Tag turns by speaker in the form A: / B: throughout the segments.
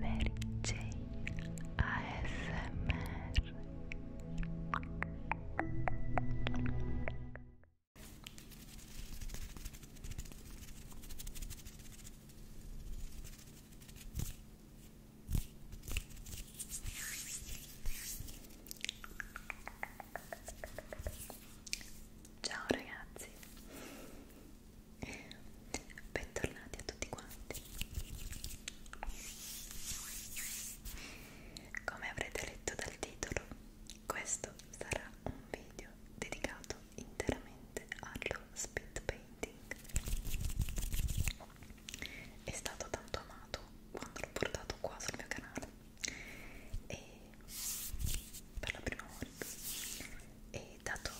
A: Mary Jane ASMR
B: Ciao ragazzi bentornati a tutti quanti come avrete letto dal titolo questo sarà un video dedicato interamente allo speed painting è stato tanto amato quando l'ho portato qua sul mio canale e per la prima volta e e dato,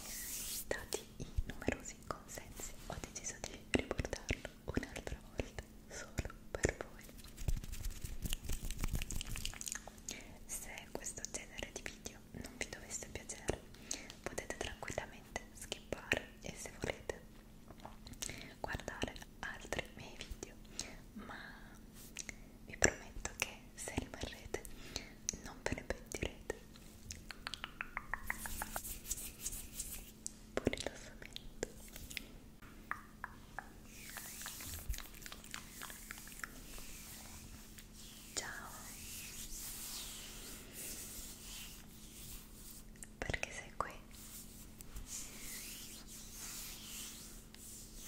B: dati i numerosi consensi ho deciso di riportarlo un'altra volta solo per voi se questo genere di video non vi dovesse piacere potete tranquillamente skippare e se volete guardare altri miei video ma vi prometto che se rimarrete non ve ne pentirete buon rilassamento ciao perché sei qui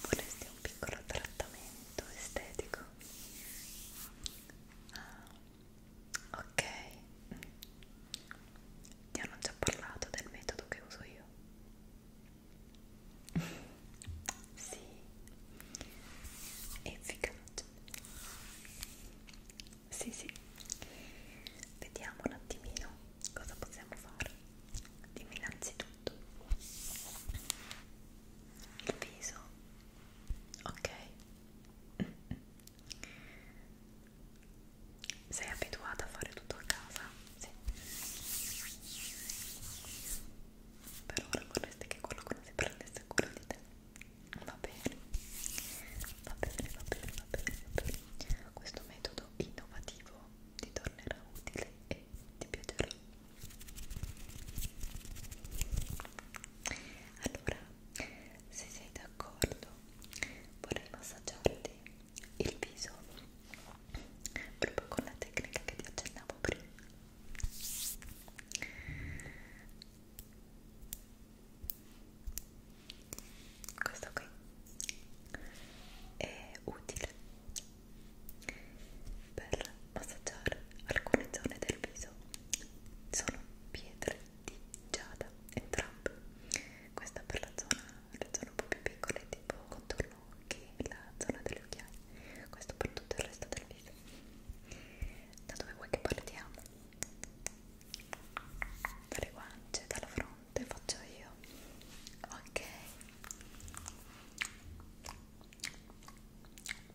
B: vorresti un piccolo trattamento estetico Ah, ok, ti hanno già parlato del metodo che uso io? sì, è efficace. Sì, sì, vediamo un attimino cosa possiamo fare. Dimmi innanzitutto il viso ok? Sei abituata a fare tutto a casa? Sì. Per ora vorresti che qualcuno si prendesse cura di te. Va bene. Va bene, va bene, va bene, va bene. Questo metodo innovativo ti tornerà utile e che ti piacerà allora se sei d'accordo vorrei massaggiarti il viso proprio con la tecnica che ti accennavo prima questo qui è utile per massaggiare alcune zone del viso sono pietre di giada entrambe questa per la zona, le zone un po' più piccole tipo contorno occhi la zona delle occhiaie questo per tutto
C: il resto del viso da dove vuoi che partiamo? dalle guance, dalla fronte faccio io ok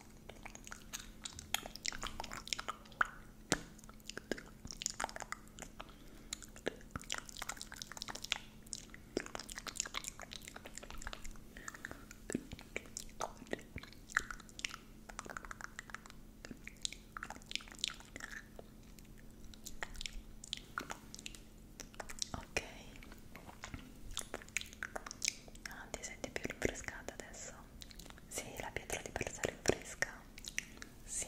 C: Ok, ah, ti senti più rinfrescata adesso? Sì, la pietra di per sé è fresca. Sì.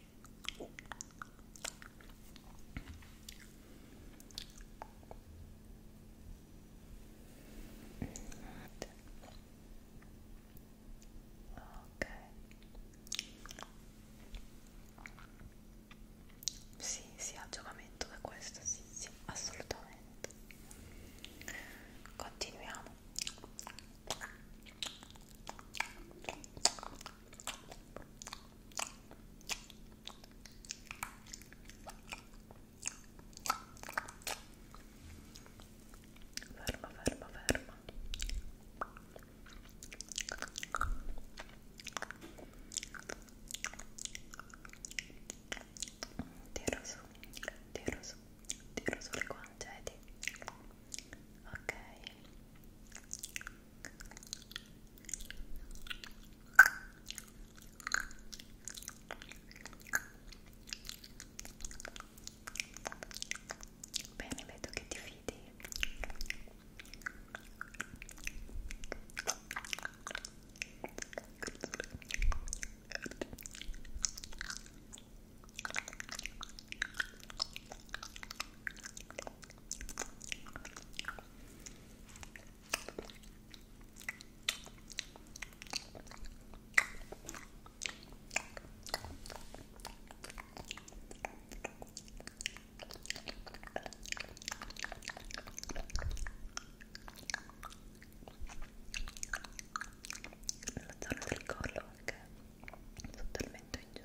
C: ok sì sì ha giocamento da questo sì sì assolutamente continuiamo Ferma, ferma, ferma. Tiro su, tiro su, tiro sulle guancette ok bene vedo che ti fidi ok nella zona del collo anche sotto il mento in giù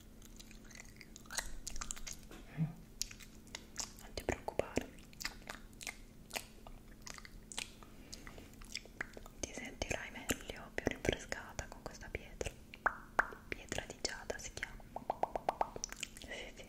C: Eh? non ti preoccupare ti sentirai meglio più rinfrescata con questa pietra pietra di giada si chiama sì, sì.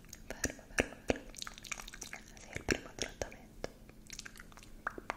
C: fermo, fermo, fermo. Sì, il primo trattamento. Sì,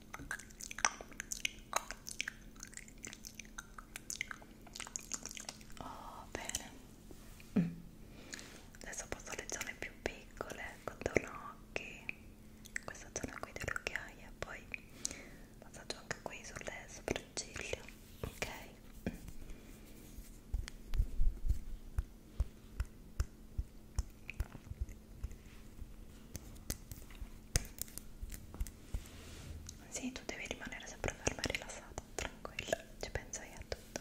D: Oh, bene. Mm. Adesso passo alle zone più piccole, contorno occhi, questa zona qui delle occhiaie, poi passaggio anche qui sulle sopracciglia, ok? Mm. Sì, tu devi rimanere sempre ferma e rilassata, tranquilla, ci penso io a tutto.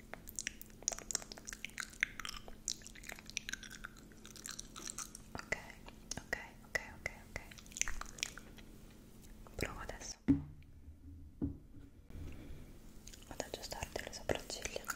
D: ok ok ok ok ok provo adesso ad aggiustarti le sopracciglia ok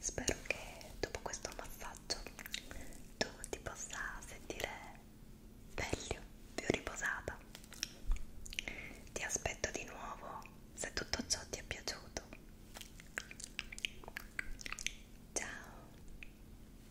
E: Spero che dopo questo massaggio tu ti possa sentire meglio, più riposata. Ti aspetto di nuovo se tutto ciò ti è piaciuto. Ciao!